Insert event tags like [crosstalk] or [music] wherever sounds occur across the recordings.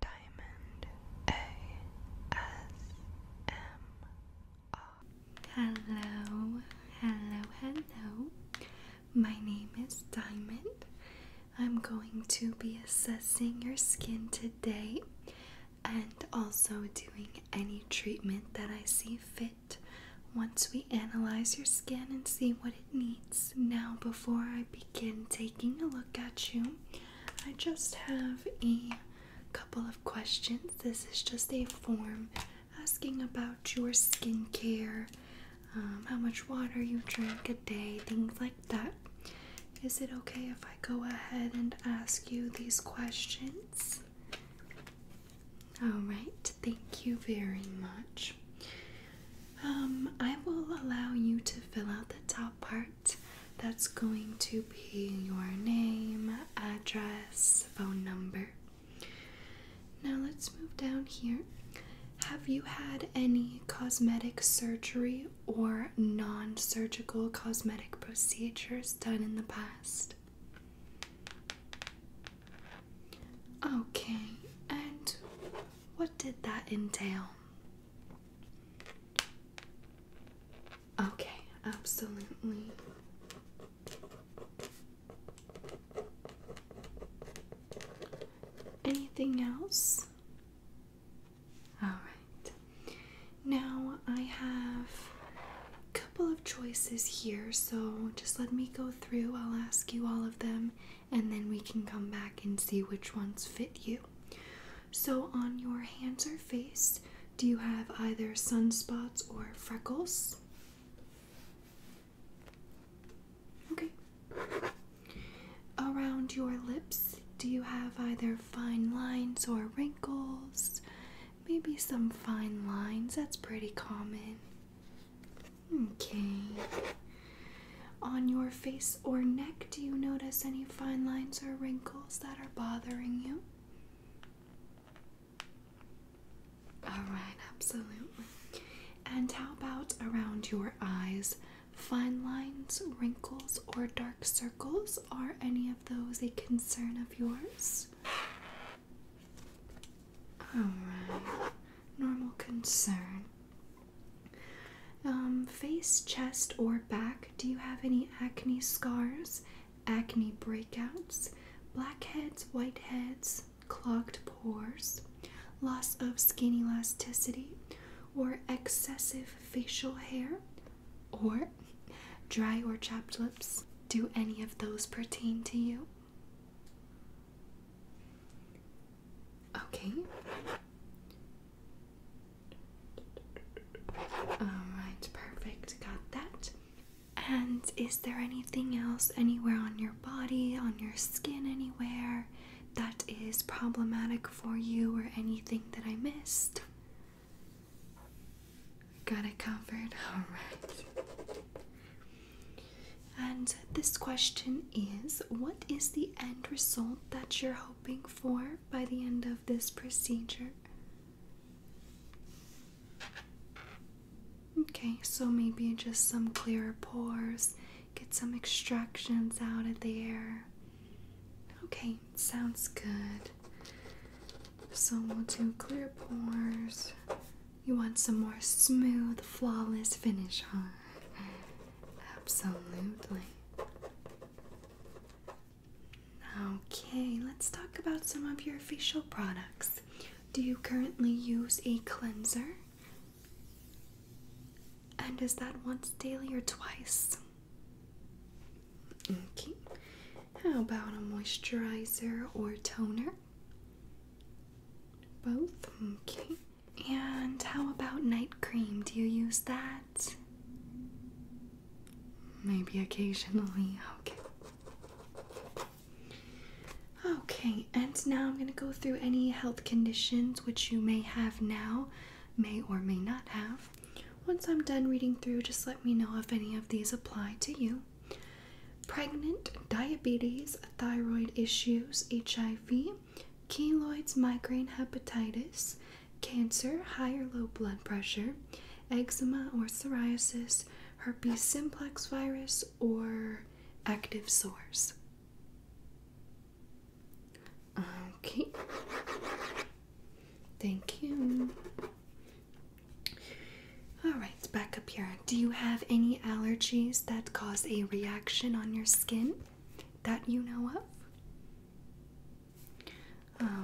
Diamond ASMR. Hello, hello, hello. My name is Diamond. I'm going to be assessing your skin today and also doing any treatment that I see fit once we analyze your skin and see what it needs. Now, before I begin taking a look at you, I just have a couple of questions. This is just a form asking about your skincare, um, how much water you drink a day, things like that. Is it okay if I go ahead and ask you these questions? Alright, thank you very much. Um, I will allow you to fill out the top part that's going to be your name, address, phone number. Now let's move down here. Have you had any cosmetic surgery or non surgical cosmetic procedures done in the past? Okay, and what did that entail? Okay, absolutely. Anything else? All right. Now I have a couple of choices here, so just let me go through. I'll ask you all of them and then we can come back and see which ones fit you. So, on your hands or face, do you have either sunspots or freckles? Okay. Around your lips, do you have either fine lines or wrinkles? Maybe some fine lines, that's pretty common. Okay. On your face or neck, do you notice any fine lines or wrinkles that are bothering you? Alright, absolutely. And how about around your eyes? Fine lines, wrinkles, or dark circles? Are any of those a concern of yours? Alright, normal concern. Um, face, chest, or back. Do you have any acne scars, acne breakouts, blackheads, whiteheads, clogged pores, loss of skin elasticity, or excessive facial hair, or dry or chapped lips? Do any of those pertain to you? Okay. Alright, perfect. Got that. And is there anything else anywhere on your body, on your skin, anywhere that is problematic for you or anything that I missed? Got it covered. [laughs] Alright. And this question is What is the end result that you're hoping for by the end of this procedure? Okay, so maybe just some clearer pores, get some extractions out of there. Okay, sounds good. So we'll do clear pores. You want some more smooth, flawless finish, huh? Absolutely. Okay, let's talk about some of your facial products. Do you currently use a cleanser? And is that once daily or twice? Okay. How about a moisturizer or toner? Both? Okay. And how about night cream? Do you use that? Maybe occasionally. [laughs] Okay. Okay, and now I'm going to go through any health conditions which you may have now, may or may not have. Once I'm done reading through, just let me know if any of these apply to you. Pregnant, diabetes, thyroid issues, HIV, keloids, migraine, hepatitis, cancer, high or low blood pressure, eczema or psoriasis, herpes simplex virus, or active sores. Okay. Thank you. Alright, back up here. Do you have any allergies that cause a reaction on your skin? that you know of?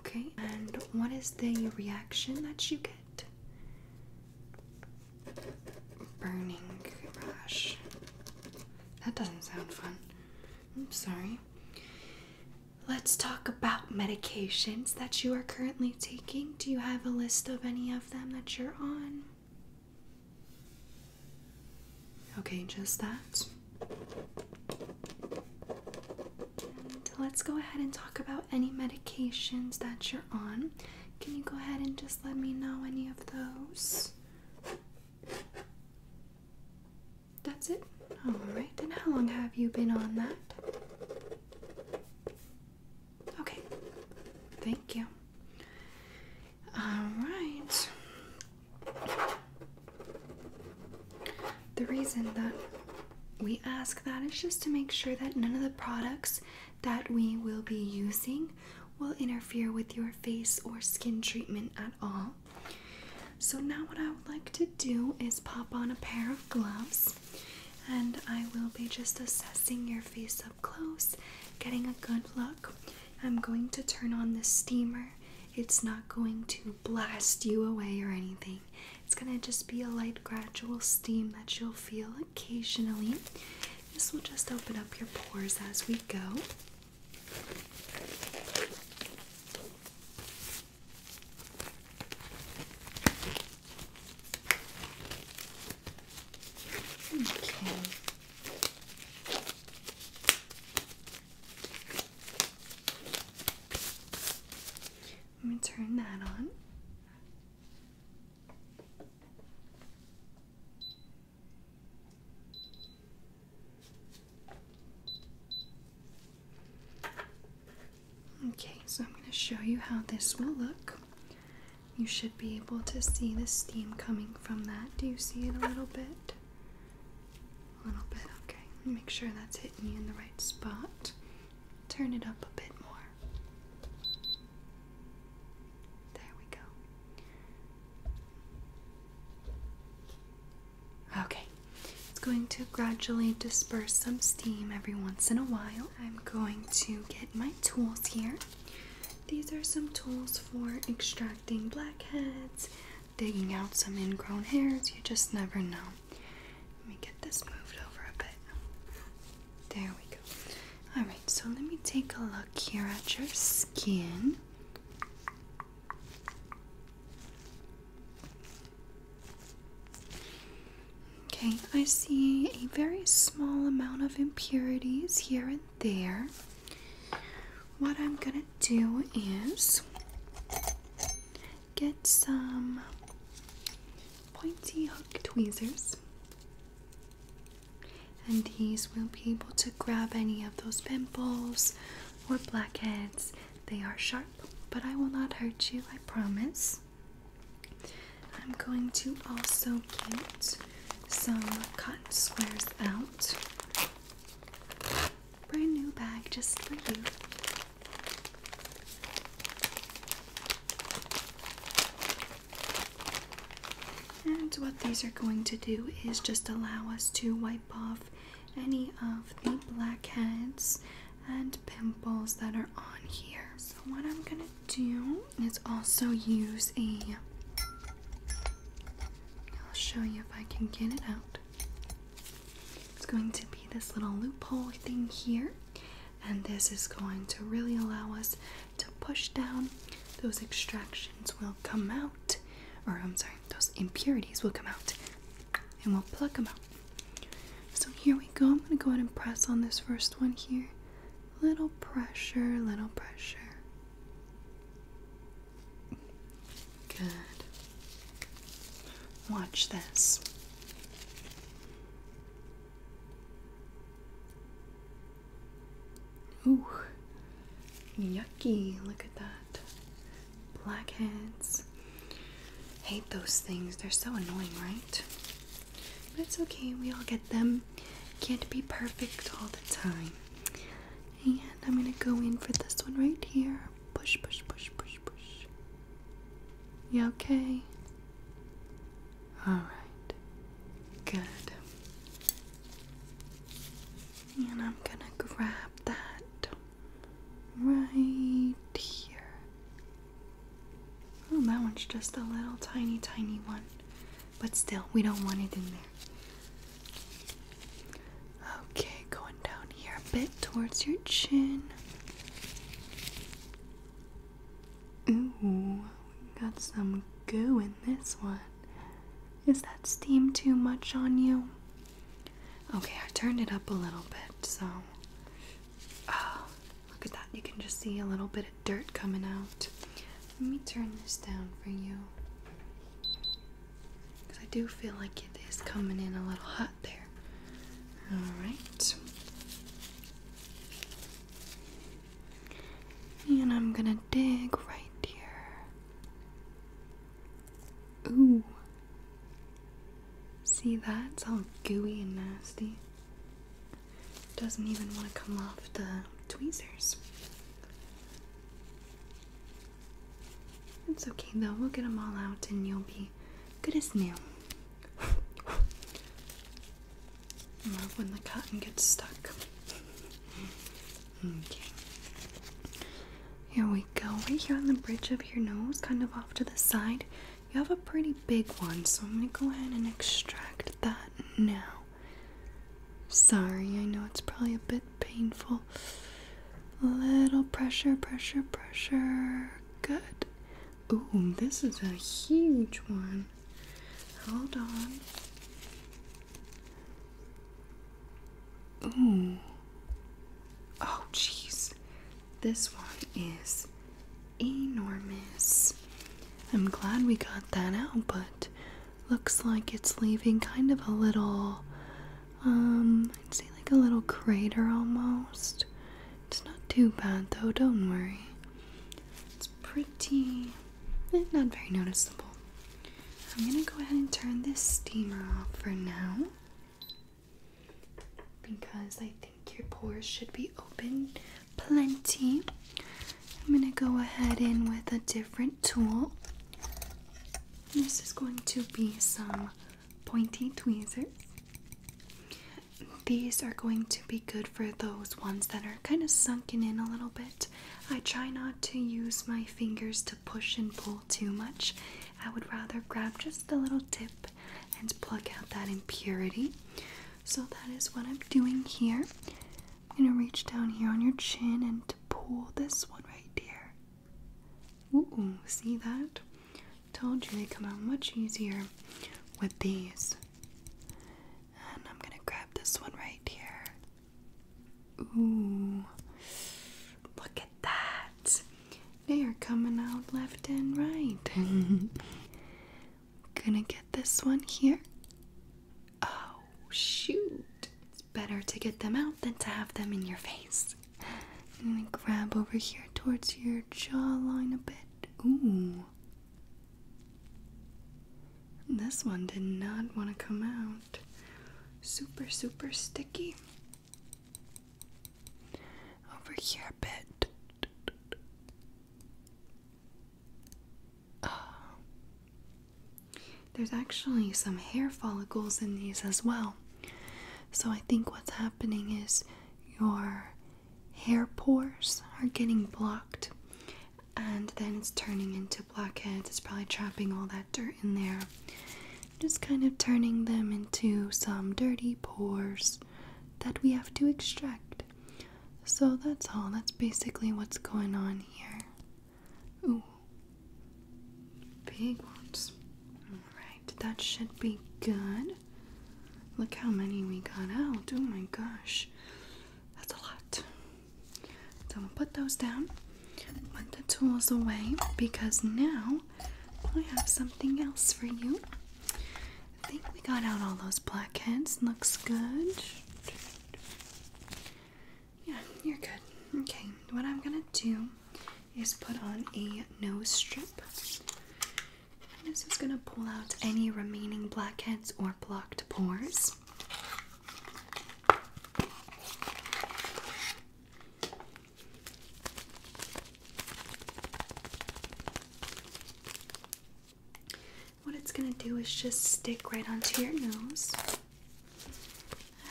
Okay, and what is the reaction that you get? Burning rash. That doesn't sound fun. I'm sorry. Let's talk about medications that you are currently taking. Do you have a list of any of them that you're on? Okay, just that. let's go ahead and talk about any medications that you're on. Can you go ahead and just let me know any of those? That's it? Alright, and how long have you been on that? Okay, thank you. All right. The reason that we ask that is just to make sure that none of the products that we will be using will interfere with your face or skin treatment at all. So, now what I would like to do is pop on a pair of gloves and I will be just assessing your face up close, getting a good look. I'm going to turn on the steamer. It's not going to blast you away or anything. It's going to just be a light, gradual steam that you'll feel occasionally. This will just open up your pores as we go. Okay. Let me turn that on. Okay, so I'm going to show you how this will look. You should be able to see the steam coming from that. Do you see it a little bit? A little bit, okay. Make sure that's hitting me in the right spot. Turn it up a bit more. There we go. Okay, it's going to gradually disperse some steam every once in a while. I'm going to get my tools here. These are some tools for extracting blackheads, digging out some ingrown hairs. You just never know. Let me get this moved over a bit. There we go. Alright, so let me take a look here at your skin. Okay, I see a very small amount of impurities here and there. What I'm gonna do is get some pointy hook tweezers, and these will be able to grab any of those pimples or blackheads. They are sharp, but I will not hurt you, I promise. I'm going to also cute. Some cut squares out. Brand new bag just for you. And what these are going to do is just allow us to wipe off any of the blackheads and pimples that are on here. So, what I'm gonna do is also use a. I'll show you if I can get it out. It's going to be this little loophole thing here, and this is going to really allow us to push down. Those extractions will come out, or I'm sorry, those impurities will come out, and we'll pluck them out. So here we go. I'm going to go ahead and press on this first one here. Little pressure, little pressure. Good. Watch this. Ooh, yucky. Look at that. Blackheads. Hate those things. They're so annoying, right? But it's okay, we all get them. Can't be perfect all the time. And I'm gonna go in for this one right here. Push, push, push, push, push. You okay? Alright. Good. And I'm gonna grab that right here. Oh, that one's just a little tiny, tiny one. But still, we don't want it in there. Okay, going down here a bit towards your chin. Ooh, got some goo in this one. Is that steam too much on you? Okay, I turned it up a little bit, so. Oh, look at that. You can just see a little bit dirt coming out. Let me turn this down for you. Because I do feel like it is coming in a little hot there. Alright. And I'm gonna dig right here. Ooh. See that? It's all gooey and nasty doesn't even want to come off the tweezers. It's okay though, we'll get them all out and you'll be good as new. I [laughs] love when the cotton gets stuck. okay. Here we go, right here on the bridge of your nose, kind of off to the side. You have a pretty big one, so I'm going to go ahead and extract that now. Sorry, I know it's probably a bit painful. A little pressure, pressure, pressure. Good. Ooh, this is a huge one. Hold on. Ooh. Oh, jeez. This one is enormous. I'm glad we got that out, but looks like it's leaving kind of a little, um, I'd say like a little crater almost. It's not too bad though, don't worry. It's pretty, eh, not very noticeable. I'm gonna go ahead and turn this steamer off for now because I think your pores should be open plenty. I'm going to go ahead in with a different tool. This is going to be some pointy tweezers. These are going to be good for those ones that are kind of sunken in a little bit. I try not to use my fingers to push and pull too much. I would rather grab just the little tip and pluck out that impurity. So that is what I'm doing here. I'm gonna reach down here on your chin and to pull this one right here. Ooh, see that? Told you they come out much easier with these. And I'm gonna grab this one right here. Ooh, look at that. They are coming out left and right. [laughs] Gonna get this one here. Oh, shoot. It's better to get them out than to have them in your face. I'm gonna grab over here towards your jawline a bit. Ooh. This one did not want to come out. Super, super sticky. Over here a bit. Uh, there's actually some hair follicles in these as well. So I think what's happening is your hair pores are getting blocked and then it's turning into blackheads. It's probably trapping all that dirt in there. Just kind of turning them into some dirty pores that we have to extract. So that's all. That's basically what's going on here. Ooh. Big ones. Alright, that should be good. Look how many we got out. Oh my gosh. That's a lot. So we'll put those down. Put the tools away because now I have something else for you. I think we got out all those blackheads. Looks good. Yeah, you're good. Okay, what I'm gonna do is put on a nose strip. this is gonna pull out any remaining blackheads or blocked pores what it's going to do is just stick right onto your nose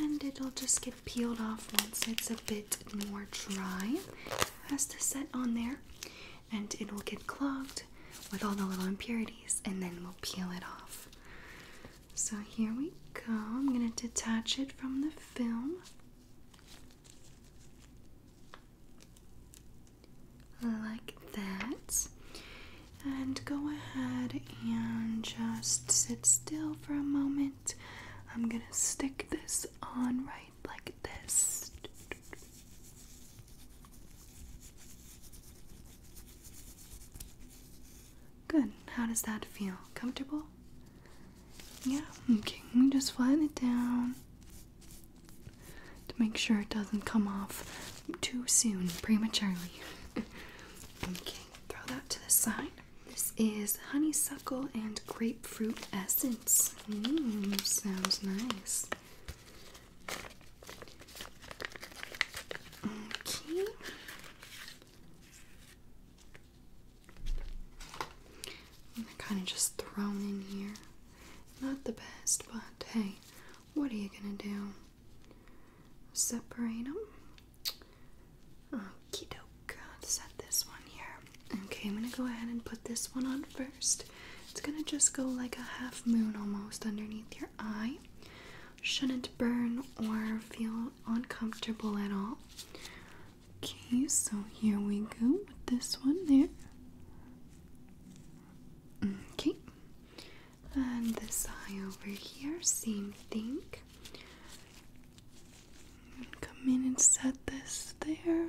and it'll just get peeled off once it's a bit more dry. It has to set on there and it will get clogged with all the little impurities and then we'll peel it off. So here we go. I'm going to detach it from the film like that. And go ahead and just sit still for a moment. I'm gonna stick this on right like this. Good. How does that feel? Comfortable? Yeah, okay. Let me Just flatten it down to make sure it doesn't come off too soon, prematurely. [laughs] okay, throw that to the side. This is honeysuckle and grapefruit essence. Mmm, sounds nice. Okay. And they're kind of just thrown in here. Not the best, but hey, what are you gonna do? Separate them? Okie doke. Set this one here. Okay, I'm gonna go ahead and put this one on first. It's gonna just go like a half moon almost underneath your eye. Shouldn't burn or feel uncomfortable at all. Okay, so here we go with this one there. Okay, and this eye over here, same thing. Come in and set this there.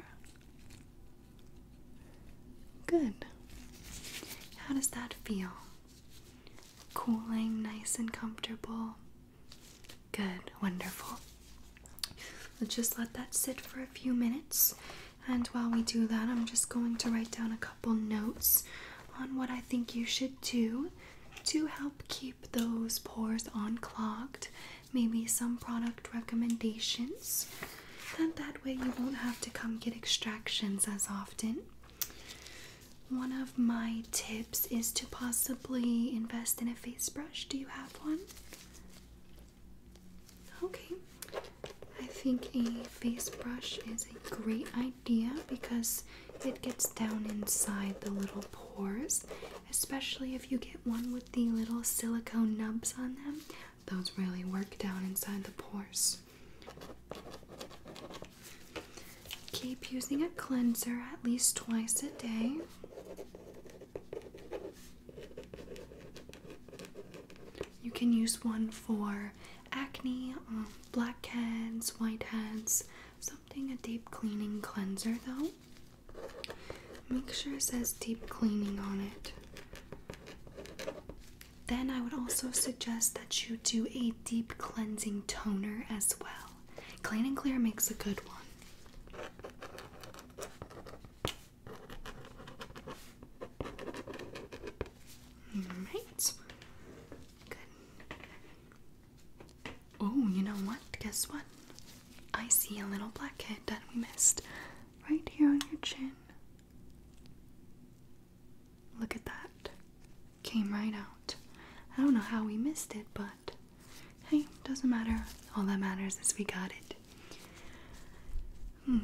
Good. How does that feel? Cooling, nice and comfortable. Good, wonderful. Let's just let that sit for a few minutes and while we do that, I'm just going to write down a couple notes on what I think you should do to help keep those pores unclogged. Maybe some product recommendations. Then that way you won't have to come get extractions as often. One of my tips is to possibly invest in a face brush. Do you have one? Okay, I think a face brush is a great idea because it gets down inside the little pores, especially if you get one with the little silicone nubs on them. Those really work down inside the pores. Keep using a cleanser at least twice a day. You can use one for acne, um, blackheads, whiteheads, something a deep cleaning cleanser though. Make sure it says deep cleaning on it. Then I would also suggest that you do a deep cleansing toner as well. Clean and Clear makes a good one. Alright. Good. Oh, you know what? Guess what? I see a little blackhead that we missed right here on your chin. Look at that. Came right out. I don't know how we missed it, but hey, doesn't matter. All that matters is we got it.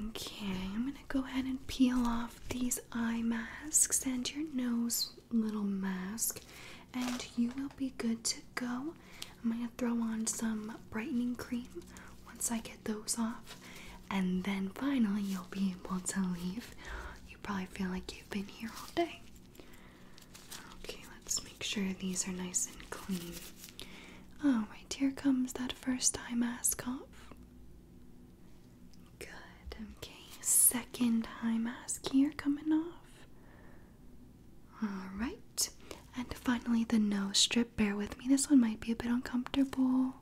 Okay, I'm gonna go ahead and peel off these eye masks and your nose little mask, and you will be good to go. I'm gonna throw on some brightening cream once I get those off, and then finally you'll be able to leave. You probably feel like you've been here all day. Okay, let's make sure these are nice and clean. Oh, Alright, here comes that first eye mask off. Good, okay. Second eye mask here coming off. Alright, and finally the nose strip. Bear with me, this one might be a bit uncomfortable.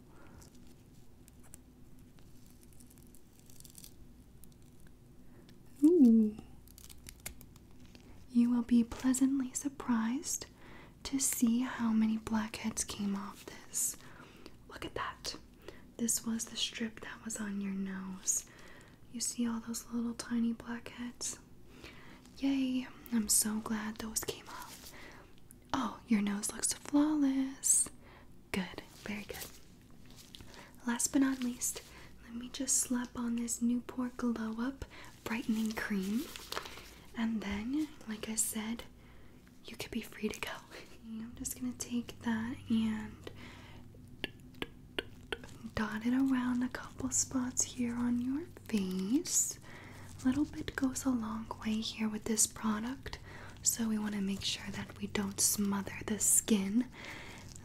Ooh. You will be pleasantly surprised to see how many blackheads came off this. Look at that. This was the strip that was on your nose. You see all those little tiny blackheads? Yay, I'm so glad those came off. Oh, your nose looks flawless. Good, very good. Last but not least, let me just slap on this Newport Glow Up brightening cream. And then, like I said, you could be free to go. [laughs] I'm just gonna take that and dot it around a couple spots here on your face. little bit goes a long way here with this product, so we want to make sure that we don't smother the skin.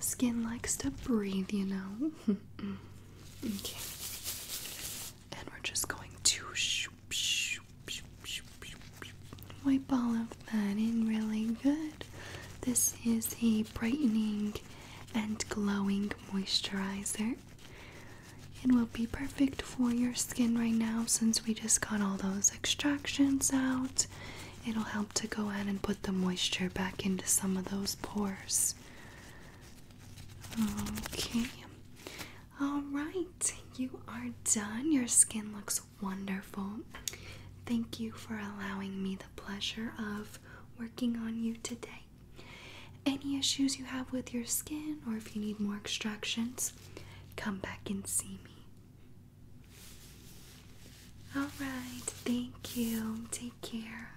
skin likes to breathe, you know. [laughs] okay. And we're just going to wipe all of that in really good. This is a brightening and glowing moisturizer. It will be perfect for your skin right now since we just got all those extractions out. It'll help to go in and put the moisture back into some of those pores. Okay. All right. You are done. Your skin looks wonderful. Thank you for allowing me the pleasure of working on you today. Any issues you have with your skin or if you need more extractions, come back and see me. All right. Thank you. Take care.